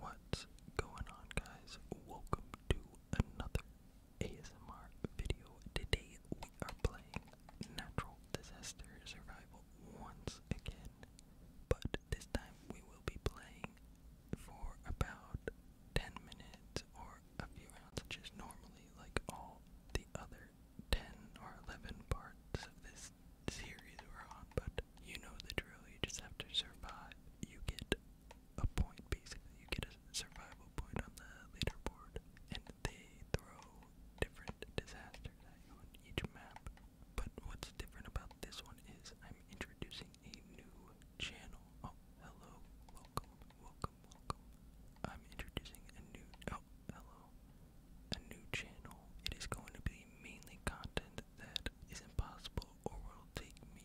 What's going on, guys? Welcome to another ASMR video. Today we are playing Natural Disaster Survival once again, but this time we will be playing for about 10 minutes or a few rounds, which normally like all the other 10 or 11 parts of this series we're but you know the drill. You just have to survive. You get a point, basically. You get a survival point on the leaderboard, and they throw different disasters on each map. But what's different about this one is I'm introducing a new channel. Oh, hello, welcome, welcome, welcome. I'm introducing a new. Oh, hello. A new channel. It is going to be mainly content that is impossible or will take me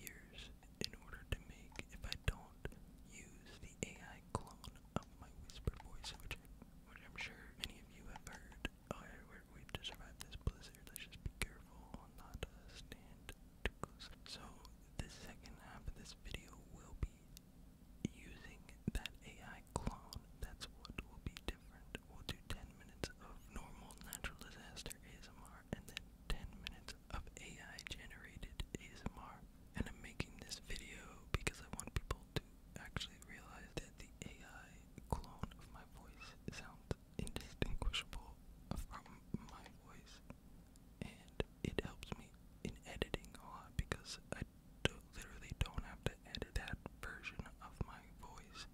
years in order to make if I don't use the AI clone of my whisper voice, which, which I'm sure many of you have heard. Oh, yeah, we're, we've this blizzard. Let's just be careful not to uh, stand too close. So, the second half of this video will be using that AI clone. That's what will be different we'll do 10 minutes of normal natural disaster ASMR and then 10 minutes of AI generated ASMR. And I'm making this video because I want people to actually realize that the AI clone of my voice sounds indistinguishable from my voice. And it helps me in editing a lot because I literally don't have to edit that version of my voice,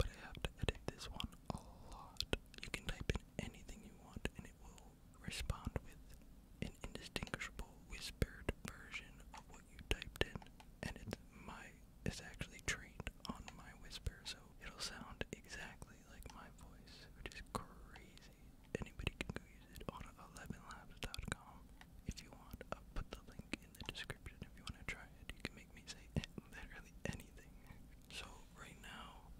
but I have to edit this one a lot. You can type in anything you want and it will respond with an indistinguishable whispered version of what you typed in, and it's my it's actually trained on my whisper, so it'll sound exactly like my voice, which is crazy. Anybody can go use it on 11 if you want. I'll put the link in the description if you want to try it. You can make me say literally anything. So right now,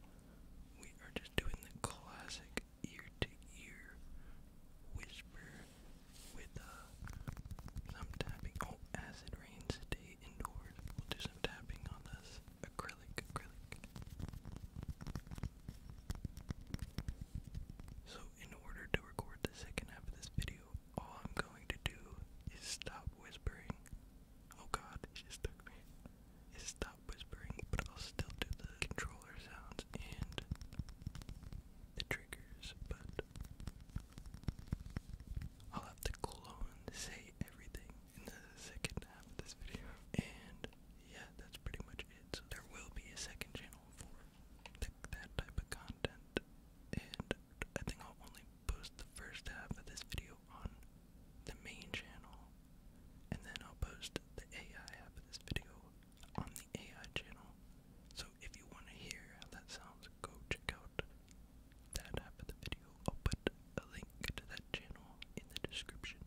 we are just doing the classic ear-to-ear whisper with uh, some tapping. Oh, as it rains, indoors. We'll do some tapping on this acrylic, acrylic. So in order to record the second half of this video, all I'm going to do is stop whispering. Oh god, it just took me. Is stop whispering, but I'll still do the controller sounds and the triggers, but I'll have to clone, say everything in the second half of this video. And yeah, that's pretty much it. So there will be a second channel for that type of content, and I think I'll only post the first half of this video on the main channel, and then I'll post the AI half of this video on the AI channel. So if you want to hear how that sounds, go check out that half of the video. I'll put a link to that channel in the description.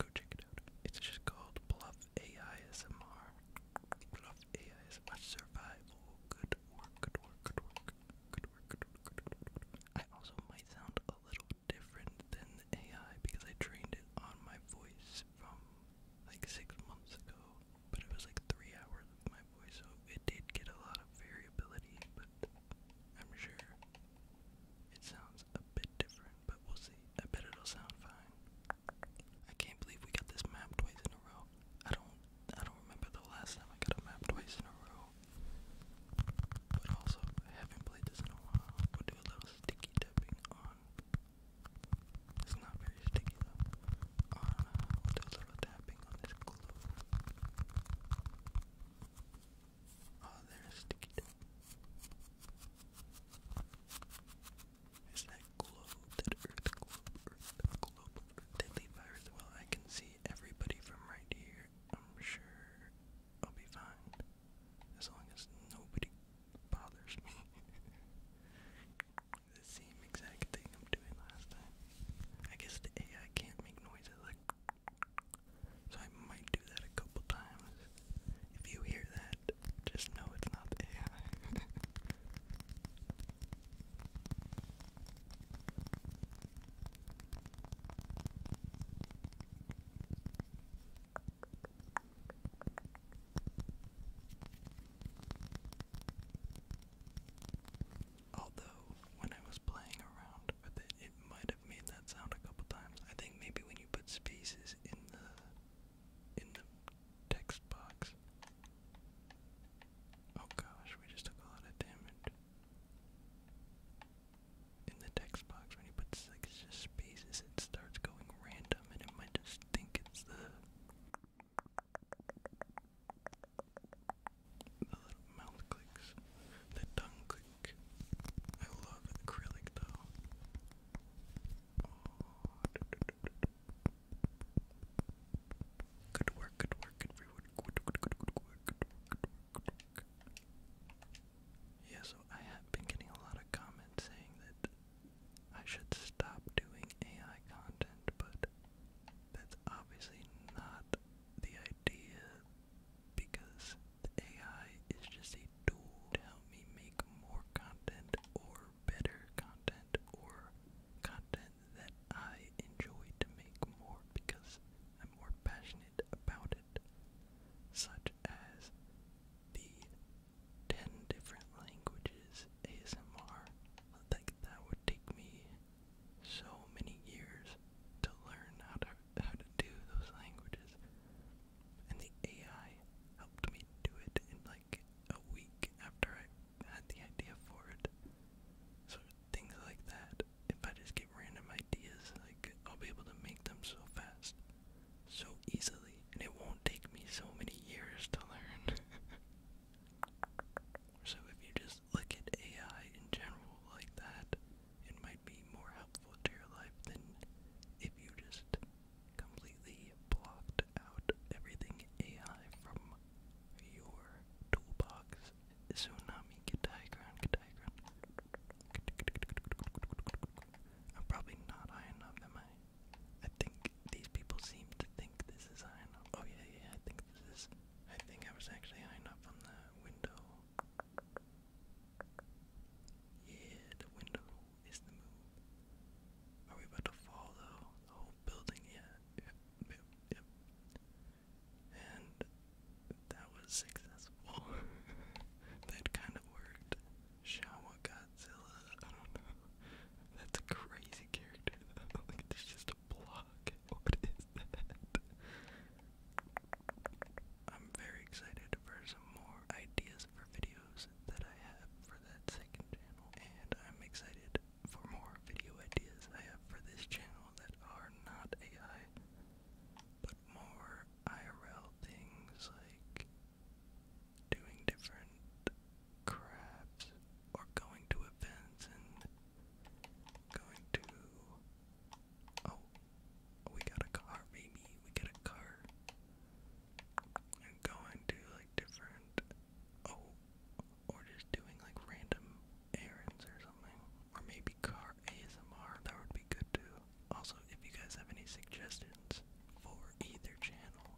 Go check it out. It's just called Bluff AI SMR. Enough AI is my good work, good work, good work, good work, good work, good work. I also might sound a little different than the AI because I trained it on my voice from like six months ago, but it was like three hours of my voice, so it did get a lot of variability, but I'm sure it sounds a bit different, but we'll see. I bet it'll sound fine. I can't believe we got this map twice in a row. I don't I don't remember the last time I got a twice in a row. But also I haven't played this in a while. We'll do a little sticky tapping on it's not very sticky On uh, we'll do a little tapping on this glue. Oh, there's sticky is that globe, that earth globe, earth globe, they leave Well, I can see everybody from right here. I'm sure I'll be fine. As long as nobody bothers me. the same exact thing I'm doing last time. I guess the AI can't make noises like so I might do that a couple times. If you hear that, just know it's not AI. Although, when I was playing around with it, it might made that sound a couple times. I think maybe when you put spaces in the in the text box. Oh gosh, we just took a lot of damage. In the text box, when you put like just spaces, it starts going random, and it might just think it's the the little mouth clicks, the tongue clicks. I love acrylic though. Good work, good work, Good, good, good work, good work, good work. Yeah, so I have been getting a lot of comments saying that I should stop doing AI content, but that's obviously not the idea because the AI is just a tool to help me make more content or better content or content that I enjoy to make more because I'm more passionate about it, such as the 10 different languages ASMR. Like that would take me so many years to learn how to how to do those languages. And the AI helped me do it in like a week after I had the idea for it. So things like that. If I just get random ideas, like I'll be able to make them so fast, so easily, and it won't take me so many years to learn. so if you just look at AI in general like that, it might be more helpful to your life than if you just completely blocked out everything AI from your toolbox. Tsunami, get diagram, get diagram. I'm probably not high enough, am I? I think these people seem to think this is high enough. Oh yeah, yeah, I think this is. I think I was actually high enough from the window. Yeah, the window is the moon. Are we about to fall though? The whole building, yeah. Yep, yep, And that was successful. that kind of worked. Shower Godzilla, I don't know. That's a crazy character though. like, it's just I'm very excited for some more ideas for videos that I have for that second channel, and I'm excited for more video ideas I have for this channel that are not AI, but more IRL things like doing different crafts or going to events and Going to. Oh, we got a car, baby. We got a car. i going to like different. Oh, or just doing like random errands or something. Or maybe car ASMR. That would be good too. Also, if you guys have any suggestions for either channel,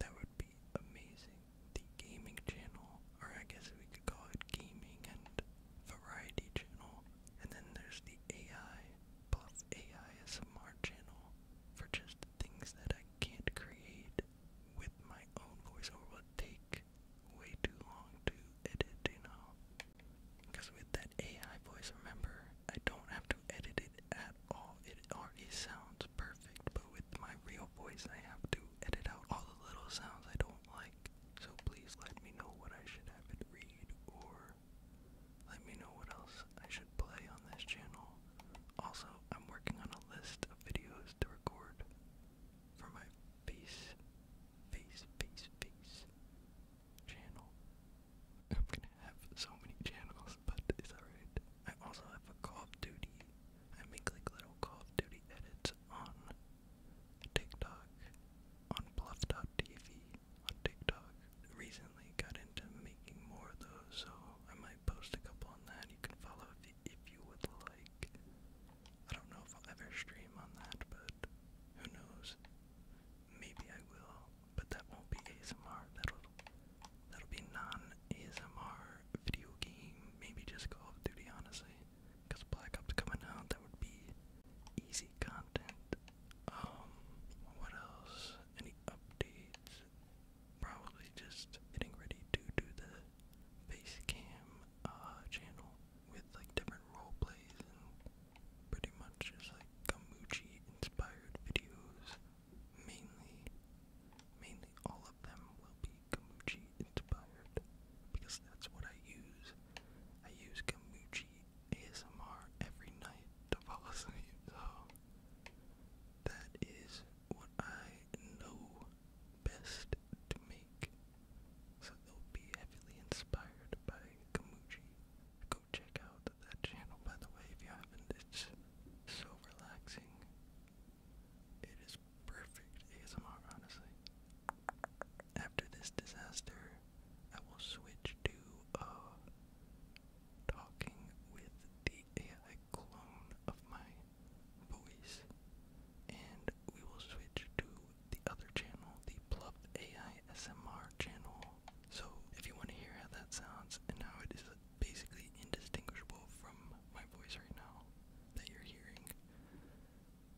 that would be amazing the gaming channel, or I guess we could call it gaming and variety channel. And then there's the AI plus AI ASMR channel for just things that I can't create with my own voiceover would take way too long to edit, you know. Because with that AI voice, remember, I don't have to edit it at all. It already sounds perfect, but with my real voice, I have to edit out all the little sounds I don't like. So please let me know what I should have it read or let me know what else I should play on this channel. Also, I'm working on a list of videos to record for my face, face, face, face channel. I'm gonna have so many channels, but it's alright. I also have a Call of Duty I make like little Call of Duty edits on TikTok, on Bluff Bluff.tv, on TikTok. Recently got into making more of those, so I might post a couple on that. You can follow if, if you would like. I don't know if I'll ever stream on that, but who knows? Maybe I will, but that won't be ASMR. That'll that'll be non ASMR video game, maybe just Call of Duty, honestly. Because Black Ops coming out, that would be easy content. Um, what else? Any updates? Probably just getting ready to do the face cam uh, channel with like different role plays and pretty much just like Gamuchi inspired videos mainly, mainly all of them will be Gamuchi inspired because that's what I use. I use Gamuchi ASMR every night to fall asleep, so that is what I know best to make. So they'll be heavily inspired by Gamuchi. Go check out that channel by the way if you haven't. It's so relaxing. It is perfect ASMR, honestly. After this disaster, I will switch to uh, talking with the AI clone of my voice, and we will switch to the other channel, the Plubbed AI SMR channel. So, if you want to hear how that sounds and how it is basically indistinguishable from my voice right now that you're hearing,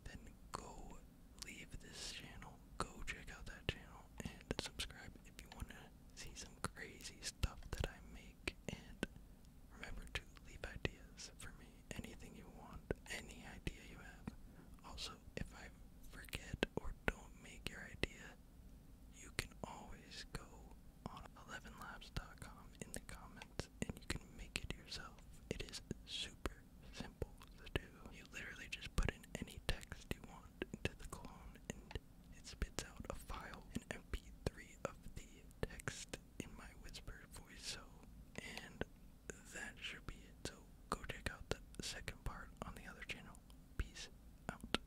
then go leave this channel, go check out that channel, and subscribe if you want to see some crazy stuff that I make. And remember to leave ideas for me, anything you want, any idea you have. Also, if I forget or don't make your idea, you can always go on 11labs.com in the comments and you can make it yourself. It is super simple to do. You literally just put in any text you want into the clone and it spits out a file, an mp3 of the text in my whisper voice. So, and that should be it. So, go check out the second part on the other channel. Peace out.